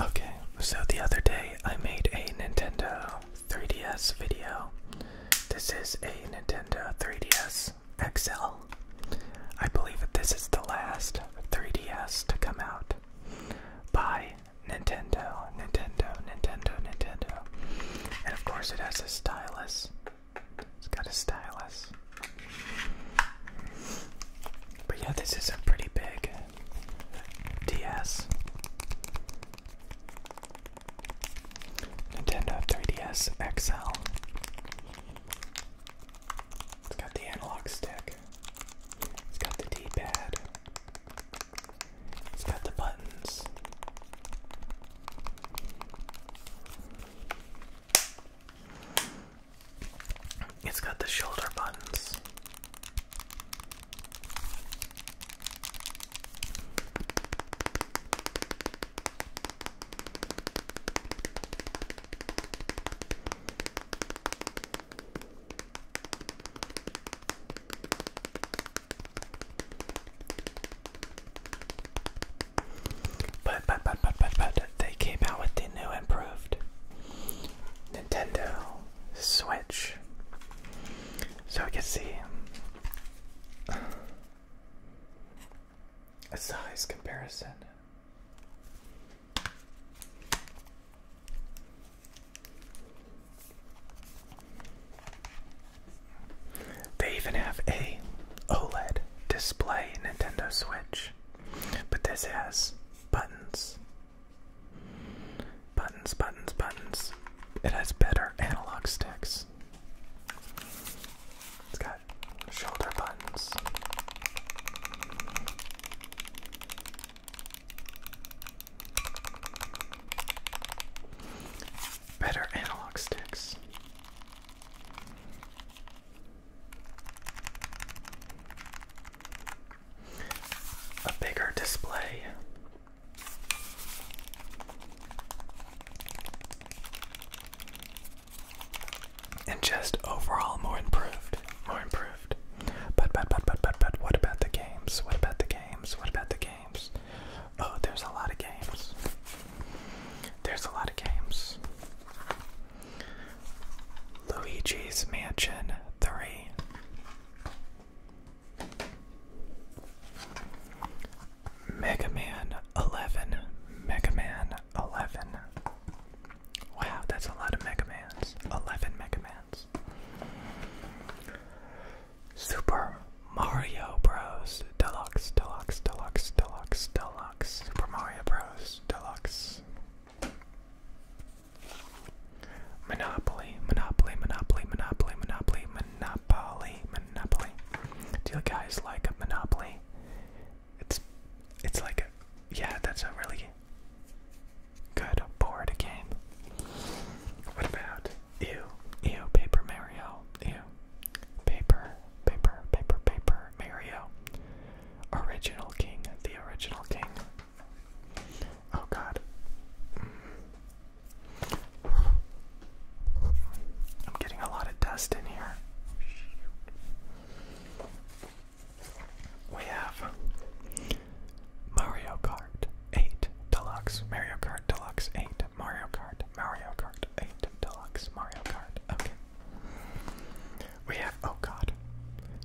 Okay, so the other day I made a Nintendo 3DS video. This is a Nintendo 3DS XL. I believe that this is the last 3DS to come out by Nintendo, Nintendo, Nintendo, Nintendo. And of course, it has a stylus. It's got a stylus. But yeah, this is a pretty big DS. Nintendo 3DS XL. It's got the analog stick. It's got the D-pad. It's got the buttons. It's got the shoulder buttons. But, but, but, but, but, but they came out with the new improved Nintendo Switch. So we can see a size comparison. They even have a OLED display Nintendo Switch, but this has buttons. Buttons, buttons, buttons. It has better analog sticks. It's got shoulder buttons. Better analog sticks a bigger display. And just overall more improved. More improved. But but but but but but what about the games? What about the games? What about the games? Oh, there's a lot of games. There's a lot of games. Luigi's Mansion 3. Mega Man 11. Mega Man 11. Wow, that's a lot of Mega Mans. 11 Mega Mans. Super Mario Bros. Deluxe, Deluxe, Deluxe, Deluxe, Deluxe. Super Mario Bros. Deluxe. Monopoly, Monopoly, Monopoly, Monopoly, Monopoly, Monopoly, Monopoly. Do you guys like Monopoly? It's it's like a yeah, that's a really good board game. What about you? ew, paper Mario, ew, paper, paper, paper, paper, Mario. Original King, the original King. Oh god. I'm getting a lot of dust in here. We have Mario Kart 8 Deluxe, Mario Kart Deluxe 8, Mario Kart, Mario Kart 8 Deluxe, Mario Kart. Okay. We have, oh god,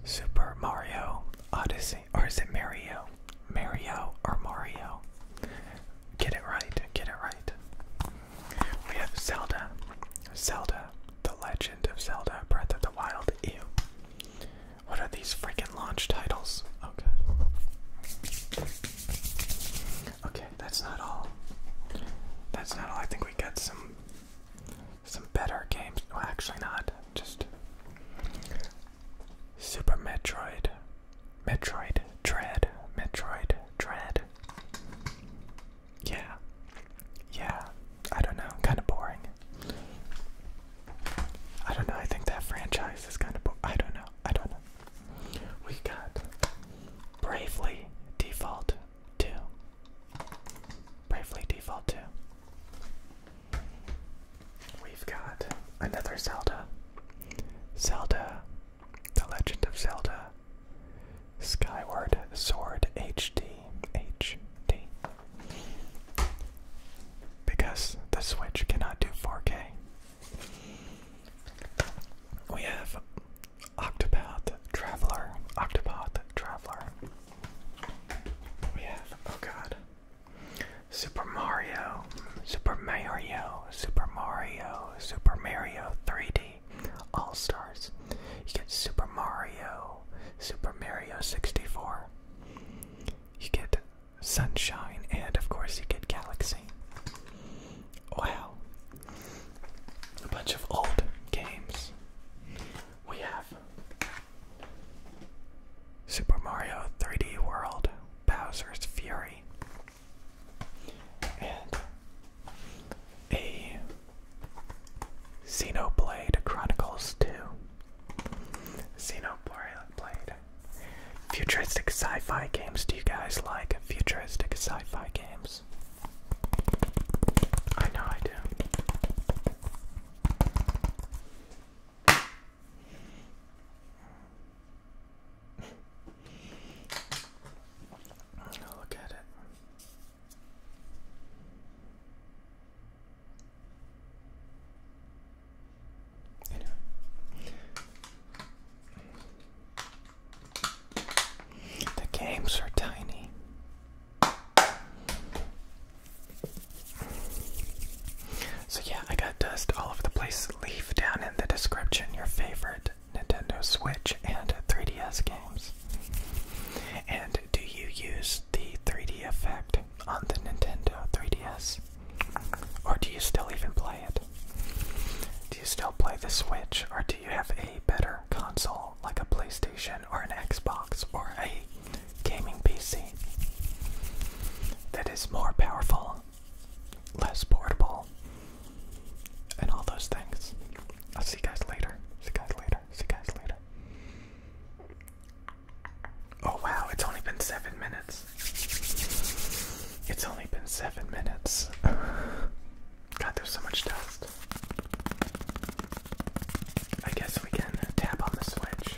Super Mario Odyssey, or is it Mario? Mario or Mario? Get it right, get it right. We have Zelda, Zelda, The Legend of Zelda, Breath of the Wild, ew. What are these freaking launch titles? Okay. Okay, that's not all. That's not all. I think we got some some better games. No, actually, not just Super Metroid, Metroid Dread, Metroid Dread. Yeah, yeah. I don't know. Kind of boring. I don't know. I think that franchise is kind of. Bo I don't know. I don't know. We got Bravely Default two. Bravely Default 2. We've got another Zelda. Zelda, The Legend of Zelda, Skyward Sword HD. HD. Because the Switch cannot do 4K. We have Octopath Traveler. Octopath Traveler. We oh, have, oh god, Super Mario, Super Mario, Super Mario, Super Mario 3D, All Stars. You get Super Mario, Super Mario 64. You get Sunshine, and of course, you get Galaxy. Wow. A bunch of old games we have Super Mario 3D World Bowser's Fury and a Xenoblade Chronicles 2. Xenoblade. Futuristic sci fi games. Do you guys like futuristic sci fi games? I know I do. Look at it. The games are tiny. So, yeah, I got dust all over the place. Leave down in the description your favorite Nintendo Switch and 3DS games. And do you use the 3D effect on the Nintendo 3DS? Or do you still even play it? Do you still play the Switch, or do you have a better console like a PlayStation or an Xbox or a gaming PC that is more powerful, less portable, and all those things. I'll see guys later. See guys later. See guys later. Oh wow, it's only been seven minutes. It's only been seven minutes. God, there's so much stuff. I guess we can tap on the switch.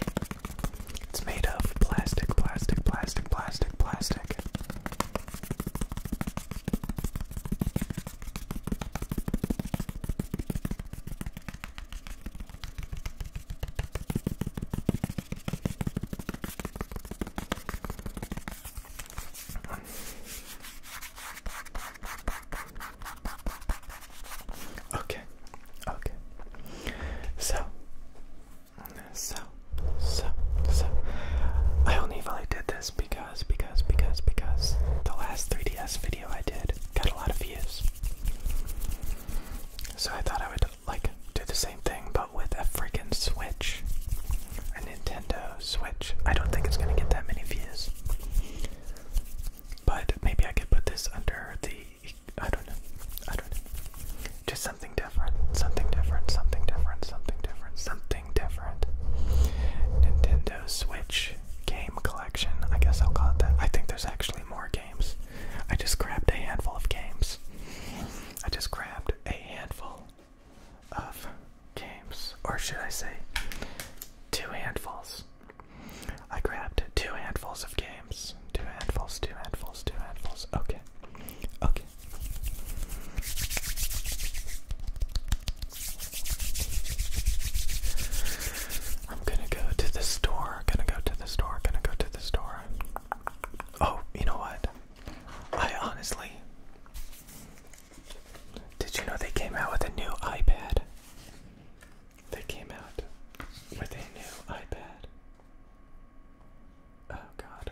It's made of plastic, plastic, plastic, plastic, plastic. Okay, okay. So, so, so, so. I only really did this because, because, because, because the last 3DS video I did got a lot of views. So I thought I would, like, do the same thing, but with a freaking Switch. A Nintendo Switch. I don't think it's gonna get that many views. But maybe I could put this under the I don't know. I don't know. Just something different. Something different. Something different. Something different. Something different. Nintendo Switch game collection. I guess I'll call it that. I think there's actually more games. I just grabbed a handful of games. I just grabbed a handful of games. Or should I say two handfuls I grabbed two handfuls of games. Two handfuls, two handfuls, two handfuls. Okay. Okay. I'm gonna go to the store. Gonna go to the store. Gonna go to the store. Oh, you know what? I honestly. Did you know they came out with a new iPad? They came out with a new iPad. Oh god.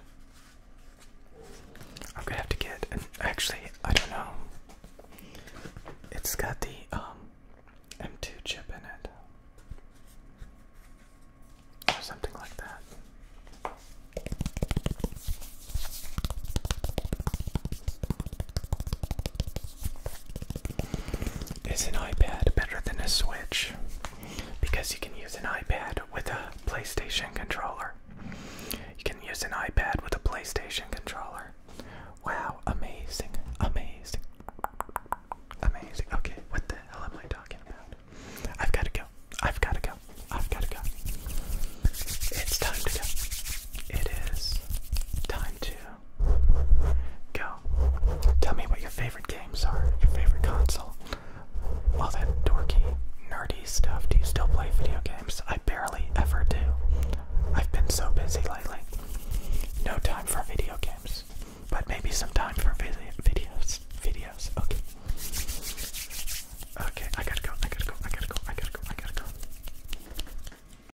I'm gonna have to get actually, I don't know. It's got the um M2 chip in it. Or something like that. Is an iPad better than a Switch? Because you can use an iPad with a PlayStation controller. You can use an iPad with a PlayStation controller. Wow, amazing, amazing, amazing. Okay, what the hell am I talking about? I've got to go. I've got to go. I've got to go. It's time to go. It is time to Go. Tell me what your favorite games are, your favorite console. All that dorky, nerdy stuff. Do you still play video games? I barely ever do. I've been so busy lately. No time for video games. But maybe some time for videos. Videos. Okay. Okay, I gotta go, I gotta go, I gotta go, I gotta go, I gotta go.